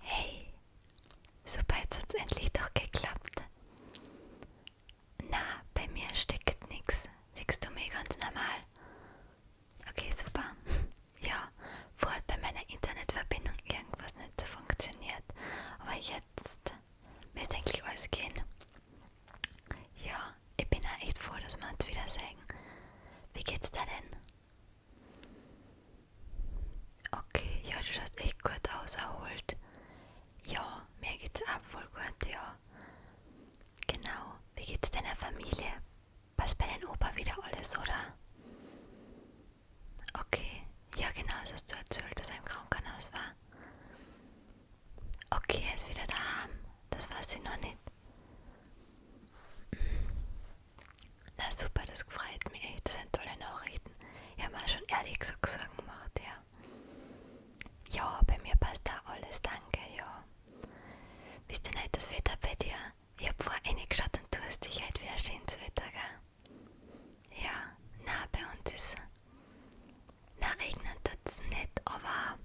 Hey, super jetzt hat's endlich doch geklappt. Na, bei mir steckt nix. Siehst du mir ganz normal? Okay, super. Ja, vorher hat bei meiner Internetverbindung irgendwas nicht so funktioniert. Aber jetzt müsste eigentlich alles gehen. Ja, ich bin ja echt froh, dass wir uns wieder sehen. Wie geht's dir denn? Okay, ja, du schaust echt gut aus, erholt. Ja, mir geht's ab wohl gut, ja. Genau, wie geht's deiner Familie? Passt bei deinem Opa wieder alles, oder? Okay, ja genau, das hast du erzählt, dass er im Krankenhaus war. Okay, er ist wieder daheim. Das weiß ich noch nicht. Na super, das gefreut mich echt. Das sind tolle Nachrichten. Ich habe mir schon ehrlich gesagt Sorgen gemacht, ja. Ja, bei mir passt da alles, danke, ja. Wisst ihr nicht, das Wetter bei dir? Ich hab vorher reingeschaut und du hast dich halt wieder schönes Wetter, gell? Ja, na, bei uns ist na, regnet jetzt nicht, aber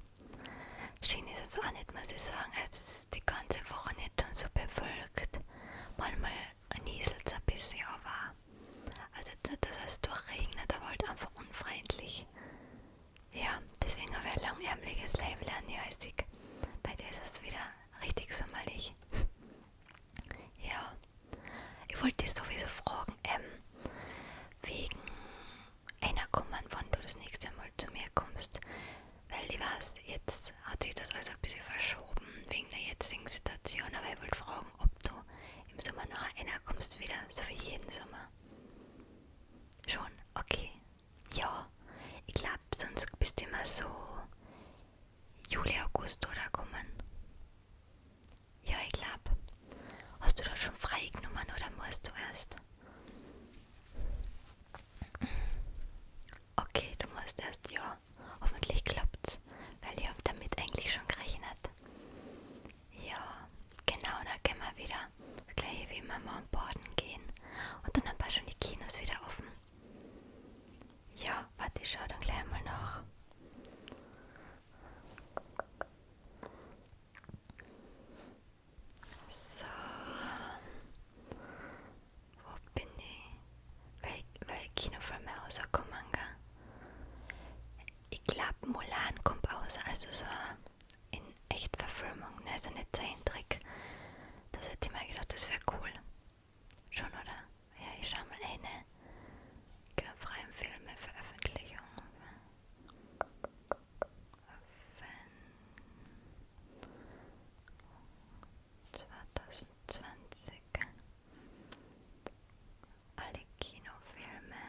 schien ist jetzt auch nicht, muss ich sagen. Also, es ist die ganze Woche nicht schon so bewölkt. Manchmal nieselt es ein bisschen, aber. Also, jetzt nicht, dass es durchregnet, aber halt einfach unfreundlich. Ja, deswegen habe ich ein langärmliches Label an Joystick. Bei dir ist es wieder richtig sommerlich. ja, ich wollte dich sowieso fragen, ähm, wegen einer kommen, wann du das nächste Mal zu mir kommst. Weil ich weiß, jetzt hat sich das alles ein bisschen verschoben wegen der jetzigen Situation, aber ich wollte fragen, ob du im Sommer noch einer kommst wieder, so wie jeden Sommer. Schon, okay. Ja, ich glaube, sonst bist du immer so Juli, August oder kommen. Ja, ich glaube. Hast du das schon freigenommen oder musst du erst? Okay, du musst erst ja. Hoffentlich klappt's, weil ich habe damit eigentlich schon gerechnet. Ja, genau, da können wir wieder das gleiche wie immer mal am Boden gehen. Und dann haben wir schon die Kinos wieder offen. Ja, warte, ich schau dann gleich mal nach. So. Wo bin ich? Wel welche Kinofilme rauskommen, gell? Ich glaube, Mulan kommt aus, also so in Echtverfilmung, ne? So nicht Zeichentrick. Das hätte ich mir gedacht, das wäre cool. Schon, oder? Ja, ich schau mal eine. Gehörfreien Filme, Veröffentlichung. 2020 alle Kinofilme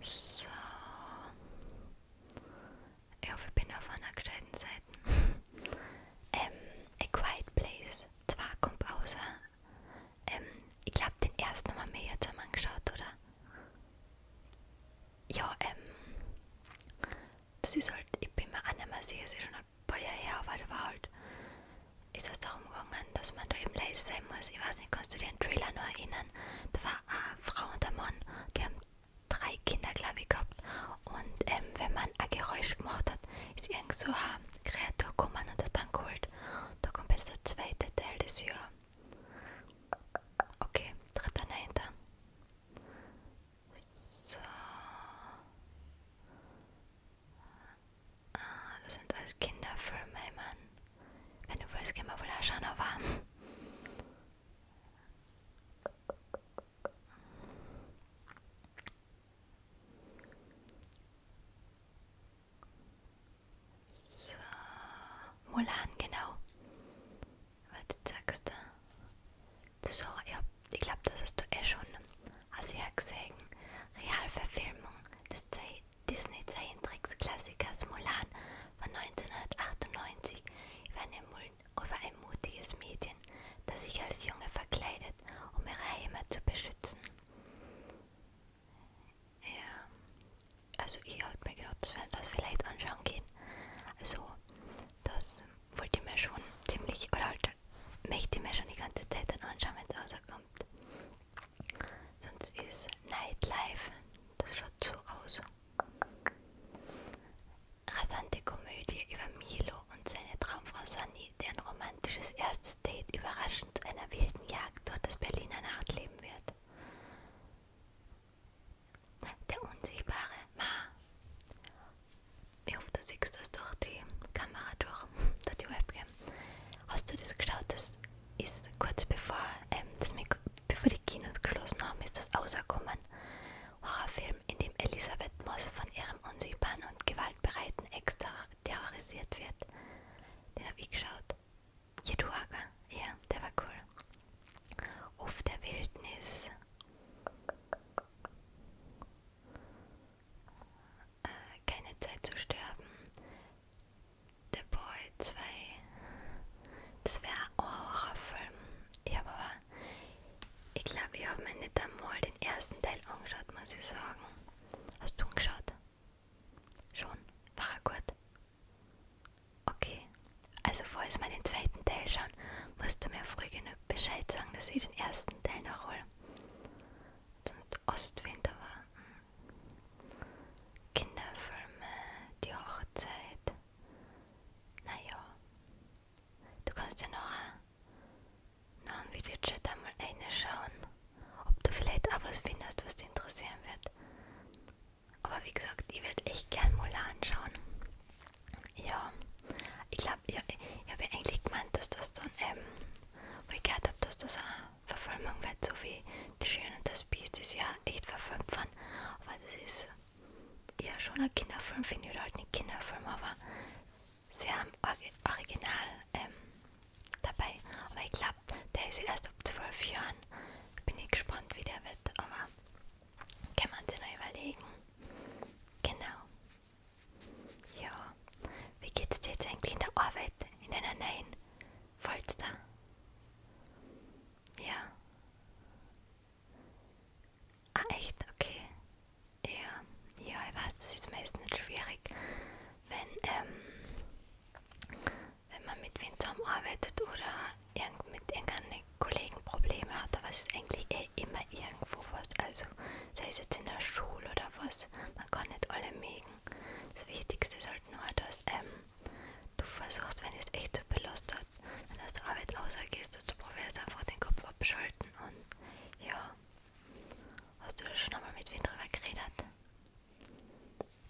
so ich hoffe ich bin auf einer gescheiten Seite ähm, A Quiet Place 2 kommt außer ähm, ich glaube, den ersten haben wir jetzt einmal angeschaut, oder? Ja, ähm, das ist halt, ich bin mir auch nicht mehr sicher, es ist schon ein paar Jahre her, aber da war halt, ist es darum gegangen, dass man da eben leise sein muss. Ich weiß nicht, kannst du dir den Trailer noch erinnern? Da war eine Frau und ein Mann, die haben drei Kinder, glaube ich, gehabt. Und ähm, wenn man ein Geräusch gemacht hat, ist irgend so eine Kreatur gekommen und hat dann geholt. Da kommt jetzt der zweite Teil des Jahr. Okay, dritter Neunter. So. Ah, das sind alles Kinderfilme, Mann. Wenn du willst, gehen wir wohl auch schauen, aber. So, Mulan, genau. Was sagst äh, du? So, ja, ich glaube, das hast du eh schon. Also, ich habe gesehen, Realverfilmung des Disney-Zeichentricksklassikers Mulan von 1998 über, eine, über ein mutiges Mädchen, das sich als Junge verkleidet, um ihre Heimat zu beschützen. Ja, ähm, also ich habe mir gedacht, dass wir das vielleicht anschauen gehen. Also, das wollte ich mir schon ziemlich, oder halt, möchte ich mir schon die ganze Zeit dann anschauen, wenn es rauskommt. Sonst ist Nightlife, das schaut so aus. Rasante Komödie über Milo und seine Traumfrau Sunny, deren Roman romantisches erstes Date überraschend zu einer wilden Jagd durch das Berliner Nachtleben wird. Der unsichtbare Ma. Ich hoffe, du siehst das durch die Kamera durch, durch die Webcam. Hast du das geschaut? Das ist kurz bevor, ähm, das Mikro, bevor die Kinos geschlossen haben, ist das rausgekommen. Horrorfilm, in dem Elisabeth Moss von ihrem unsichtbaren und gewaltbereiten Ex-Terroristen terrorisiert wird. Den habe ich geschaut. Jeduaga, ja, der war cool. Ruf der Wildnis. Äh, keine Zeit zu sterben. The Boy 2. Das wäre ein Horrorfilm. Ich habe aber, ich glaube, ich habe mir nicht einmal den ersten Teil angeschaut, muss ich sagen. Hast du ihn geschaut? Schon? War er gut? Okay. Also falls wir den zweiten Teil schauen, musst du mir früh genug Bescheid sagen, dass ich den ersten Teil noch hole. Sonst Ostwinter war. Hm, Kinderfilme, die Hochzeit. Naja. Du kannst ja noch äh, nun wird der Chat einmal eine schauen, ob du vielleicht auch was findest, was dich interessieren wird. Aber wie gesagt, ich würde echt gern mal anschauen. Ja, ich glaube, ja, ich, ich habe ja eigentlich gemeint, dass das dann eben, ähm, weil ich gehört habe, dass das eine Verfilmung wird, so wie Die Schöne und das Biest ist ja echt verfilmt worden. Aber das ist ja schon ein Kinderfilm, finde ich, oder halt nicht Kinderfilm, aber Sie haben Or Original ähm, dabei, aber ich glaube, der ist erst ab 12 Jahren. Bin ich gespannt, wie der wird, aber kann man sich noch überlegen. Genau. Ja, wie geht's dir jetzt eigentlich in der Arbeit, in deiner neuen Folster? Ja. Ah, echt? Okay. Ja, ja, ich weiß, das ist meistens schwierig, wenn, ähm, wenn man mit wem zusammenarbeitet oder irgend mit irgendeinem Kollegen Probleme hat, aber es ist eigentlich eh immer irgendwo was. Also sei es jetzt in der Schule oder was, man kann nicht alle mögen. Das Wichtigste ist halt nur, dass ähm, du versuchst, wenn es echt so belastet, wenn du aus der Arbeit rausgehst, dass du probierst einfach den Kopf abschalten und ja, Hast du da schon einmal mit wem drüber geredet?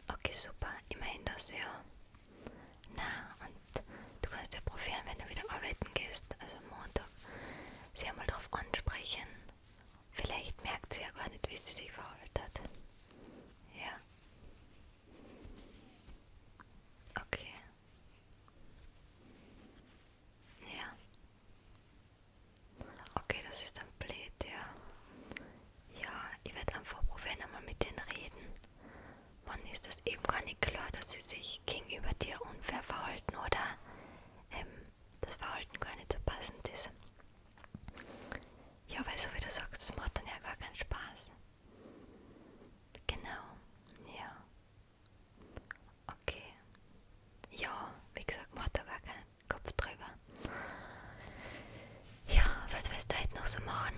Okay, super. Immerhin das ja. Na, und du kannst ja probieren, wenn du wieder arbeiten gehst, also Montag, sie einmal drauf ansprechen. Vielleicht merkt sie ja gar nicht, wie sie sich verhalten hat. Ja. Okay. Ja. Okay, das ist dann blöd, ja. Ja, ich werde einfach probieren, einmal mit denen reden. Mann, ist das eben gar nicht klar, dass sie sich gegenüber dir unfair verhalten oder ähm, das Verhalten gar nicht so passend ist. Ja, weil so wie du sagst, das macht dann ja gar keinen Spaß. Genau, ja. Okay. Ja, wie gesagt, macht da gar keinen Kopf drüber. Ja, was willst du heute noch so machen?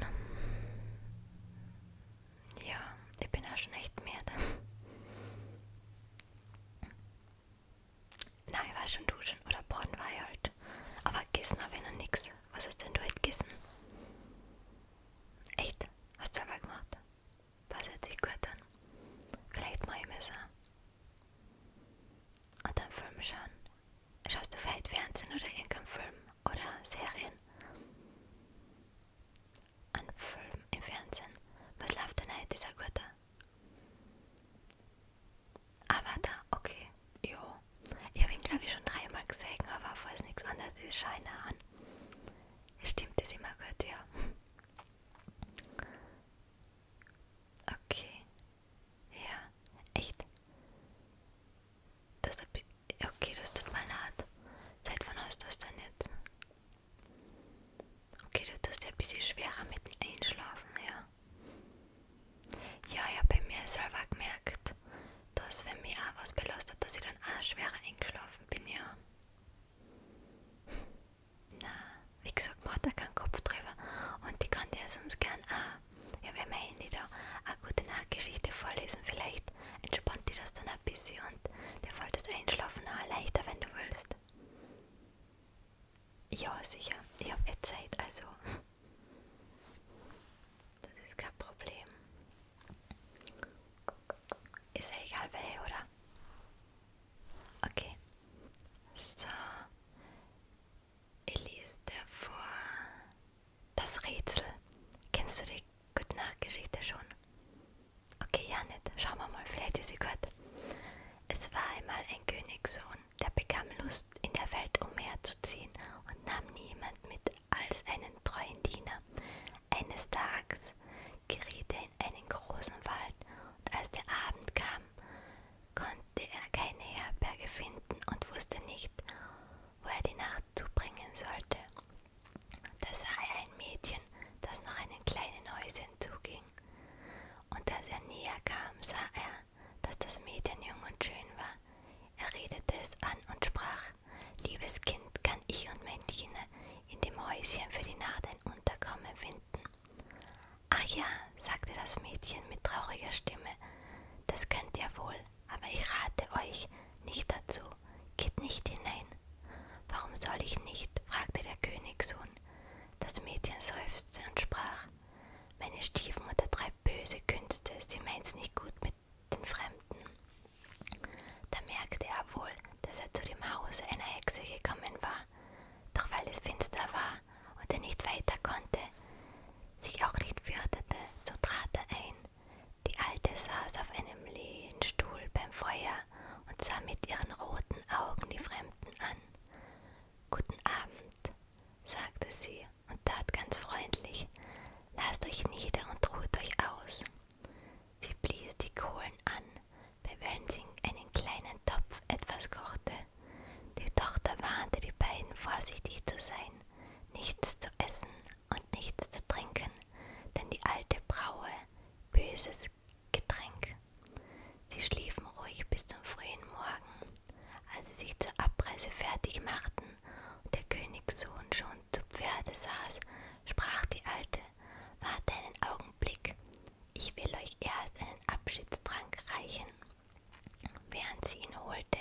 Ja, ich bin auch schon echt müde. Nein, ich war schon duschen oder baden war ich halt. Aber gegessen habe ich noch nichts. Was hast denn du heute gegessen? Echt? Hast du selber gemacht? Was hat sie gehört dann? Vielleicht mal ein Messer. Und dann Film schauen. Schaust du vielleicht Fernsehen oder irgendeinen Film oder Serien? Ein Film im Fernsehen. Was läuft denn heute, dieser Gute? Avatar, ah, okay. Jo. Ich habe ihn, glaube ich, schon dreimal gesehen, aber falls nichts anderes ist, scheine an. Stimmt das immer gut, ja. Okay. Ja, echt. Das okay, das tut mal leid. Seit wann hast du das denn jetzt? Okay, du tust ja ein bisschen schwerer mit dem Einschlafen, ja. Ja, ich habe bei mir selber gemerkt, dass wenn mich auch was belastet, dass ich dann auch schwerer eingeschlafen bin, ja. Na, wie gesagt, macht er keinen Kopf drüber und die kann dir sonst gern auch, ja, wenn mein Handy da eine gute Nachtgeschichte vorlesen, vielleicht entspannt dich das dann ein bisschen und dir fällt das Einschlafen auch leichter, wenn du willst. Ja, sicher, ich habe eh Zeit, also das ist kein Problem. Ist ja egal, welche, oder? Okay. So. Ich lese dir vor. Das Rätsel. Kennst du die Gute Nacht Geschichte schon? Okay, ja nicht. Schauen wir mal, vielleicht ist sie gut. Es war einmal ein Königssohn, der bekam Lust, in der Welt umherzuziehen und nahm niemand mit als einen treuen Diener. Eines Tages geriet er in einen großen Wald, und als der Abend kam, konnte er keine Herberge finden und wusste nicht, wo er die Nacht zubringen sollte. Da sah er ein Mädchen, das nach einem kleinen Häuschen zuging, und als er näher kam, sah er, dass das Mädchen jung und schön war. Er redete es an und sprach, liebes Kind, kann ich und mein Diener in dem Häuschen für die Nacht ein Unterkommen finden? Minuten. Ach ja, sagte das Mädchen mit trauriger Stimme, das könnt ihr wohl, aber ich rate euch nicht dazu. Geht nicht hinein. Warum soll ich nicht? fragte der Königssohn. Das Mädchen seufzte und sprach Meine Stiefmutter treibt böse Künste, sie meint's nicht gut mit den Fremden. Da merkte er wohl, dass er zu dem Hause einer Hexe gekommen war doch weil es finster war und er nicht weiter konnte, sich auch nicht fürchtete, so trat er ein. Die Alte saß auf einem Lehnstuhl beim Feuer und sah mit ihren roten Augen die Fremden an. Guten Abend, sagte sie und tat ganz freundlich, lasst euch nieder und ruht euch aus. Sie blies die Kohlen an, bei Welsing einen kleinen Topf etwas kochte. Die Tochter warnte die beiden, vorsichtig zu sein, nichts zu essen und nichts zu trinken, denn die alte braue böses Getränk. Sie schliefen ruhig bis zum frühen Morgen, als sie sich zur Abreise fertig machten und der Königssohn schon zu Pferde saß, sprach die Alte, warte einen Augenblick, ich will euch erst einen Abschiedstrank reichen. Während sie ihn holte,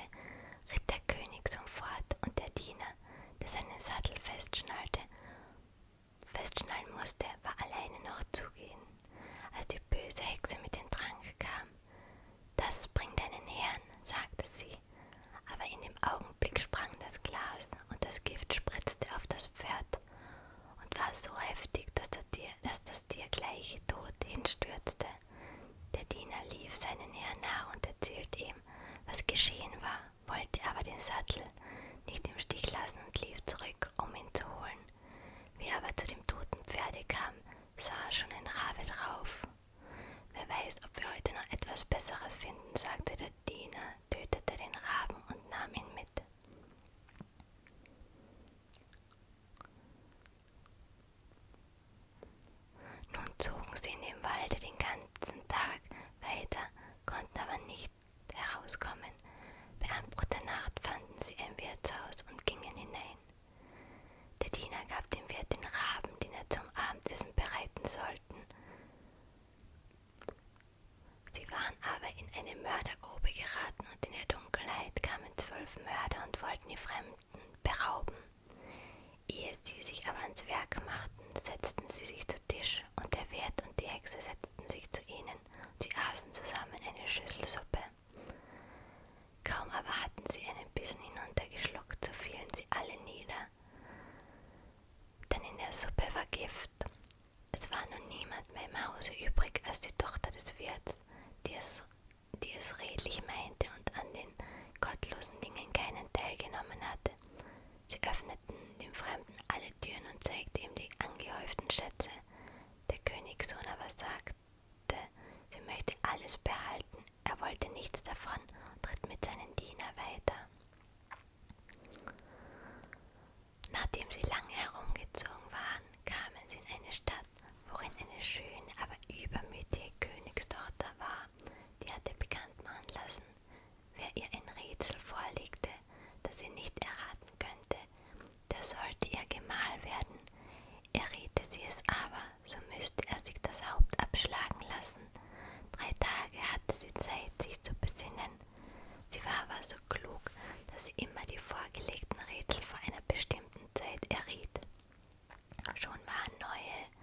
ritt der König sofort und der Diener, der seinen Sattel festschnallte, festschnallen musste, war alleine noch zugehen, als die böse Hexe mit dem Trank kam. Das bringt einen Herrn, sagte sie, aber in dem Augenblick sprang das Glas und das Gift spritzte auf das Pferd, und war so heftig, dass, der Tier, dass das Tier gleich tot hinstürzte. Der Diener lief seinen Herrn nach und erzählte ihm, was geschehen war, wollte aber den Sattel nicht im Stich lassen und lief zurück, um ihn zu holen. Wie er aber zu dem toten Pferde kam, sah schon ein Rabe drauf. Wer weiß, ob wir heute noch etwas Besseres finden, sagte der Diener, tötete den Raben und nahm ihn mit. Nun zogen sie in dem Walde den ganzen Tag weiter, konnten aber nicht herauskommen. Bei Anbruch der Nacht fanden sie ein Wirtshaus und gingen hinein. Der Diener gab dem Wirt den Raben, den er zum Abendessen bereiten sollten. Sie waren aber in eine Mördergrube geraten und in der Dunkelheit kamen zwölf Mörder und wollten die Fremden berauben. Ehe sie sich aber ans Werk machten, setzten sie sich zu Tisch, und der Wirt und die Hexe setzten sich zu ihnen, und sie aßen zusammen eine Schüssel Suppe. Kaum aber hatten sie einen Bissen hinuntergeschluckt, so fielen sie alle nieder, denn in der Suppe war Gift, es war nun niemand mehr im Hause übrig als die Tochter des Wirts, die es, die es redlich meinte und an den gottlosen Dingen keinen Teil genommen hatte. Sie öffneten dem Fremden alle Türen und zeigte ihm die angehäuften Schätze. Der Königssohn aber sagte, sie möchte alles behalten, er wollte nichts davon und ritt mit seinen Diener weiter. Nachdem sie lange herumgezogen waren, kamen sie in eine Stadt, worin eine schöne, aber übermütige Königstochter war. Die hatte bekannt machen lassen, wer ihr ein Rätsel vorlegte, das sie nicht erraten könnte, der sollte ihr Gemahl werden. Erriete sie es aber, so müsste er sich das Haupt abschlagen lassen. Drei Tage hatte sie Zeit, sich zu besinnen, Sie war aber so klug, dass sie immer die vorgelegten Rätsel vor einer bestimmten Zeit erriet. Schon waren neue,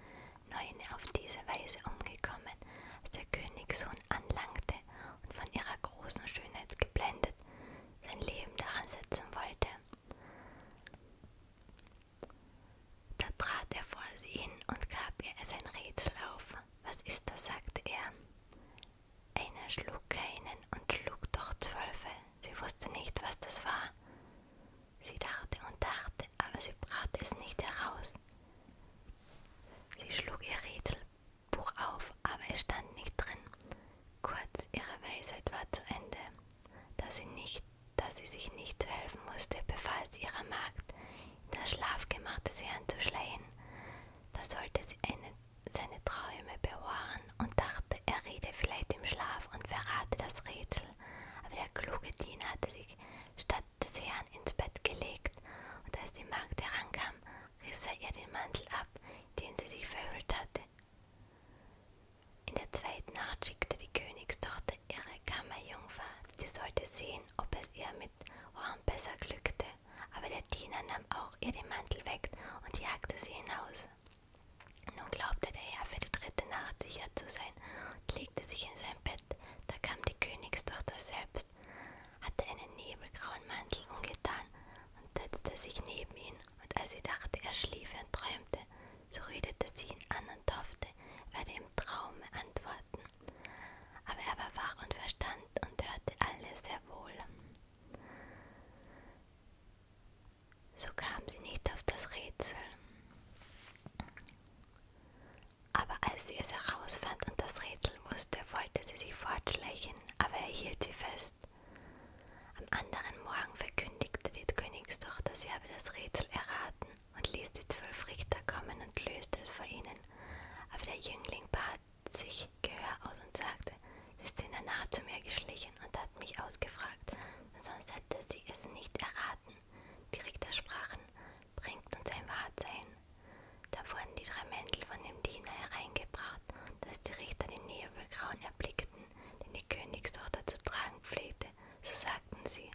neun auf diese Weise umgekommen, als der Königssohn anlangte und von ihrer großen Schönheit geblendet sein Leben daran setzen wollte. Da trat er vor sie hin und gab ihr sein Rätsel auf. Was ist das? sagte er. Einer schlug keinen und schlug doch zwölfe. Sie wusste nicht, was das war. Sie dachte und dachte, aber sie brachte es nicht heraus. Sie schlug ihr Rätselbuch auf, aber es stand nicht drin. Kurz, ihre Weisheit war zu Ende. Da sie, nicht, da sie sich nicht helfen musste, befahl sie ihrer Magd, das Schlafgemach des Herrn zu schleien. Da sollte sie eine, seine Träume bewahren und dachte, er rede vielleicht im Schlaf und verrate das Rätsel. Aber der kluge Diener hatte sich statt des Herrn ins Bett gelegt, und als die Magd herankam, riss er ihr den Mantel ab, den sie sich verhüllt hatte. In der zweiten Nacht schickte die Königstochter ihre Kammerjungfer, sie sollte sehen, ob es ihr mit Zeit oh, Horn besser glückte, aber der Diener nahm auch ihr den Mantel weg und jagte sie hinaus. Nun glaubte der Herr für die dritte Nacht sicher zu sein und legte sich in sein Bett. Da kam die Königstochter selbst, hatte einen nebelgrauen Mantel umgetan und setzte sich neben ihn, und als sie dachte, er schliefe und träumte, so redete sie ihn an und hoffte, er werde im Traume antworten. Aber er war wach und verstand und hörte alles sehr wohl. So kam sie nicht auf das Rätsel. Aber als sie es herausfand und das Rätsel wusste, wollte sie sich fortschleichen, aber er hielt sie fest. Am anderen Morgen verkündigte die Königstochter, sie habe das Rätsel erraten und ließ die zwölf Richter kommen und löste es vor ihnen. Aber der Jüngling bat sich Gehör aus und sagte, sie ist in der Naht zu mir geschlichen und hat mich ausgefragt, denn sonst hätte sie es nicht erraten. Die Richter sprachen, bringt uns ein Wahrsein. Da wurden die drei Mäntel von dem Diener hereingebracht, dass die Richter den Nebelgrauen erblickten, den die Königstochter zu tragen pflegte, so sagten sie,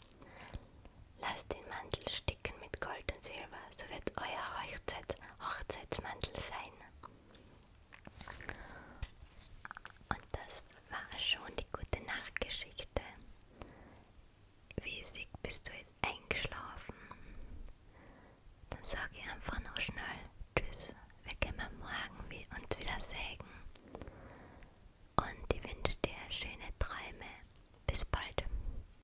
Lass den Mantel stehen Decken mit Gold und Silber, so wird euer Hochzeit, Hochzeitsmantel sein. Und das war schon die gute Nachtgeschichte. Wiesig, bist du jetzt eingeschlafen? Dann sage ich einfach noch schnell Tschüss. Wir können morgen wie uns wieder sägen. Und ich wünsche dir schöne Träume. Bis bald.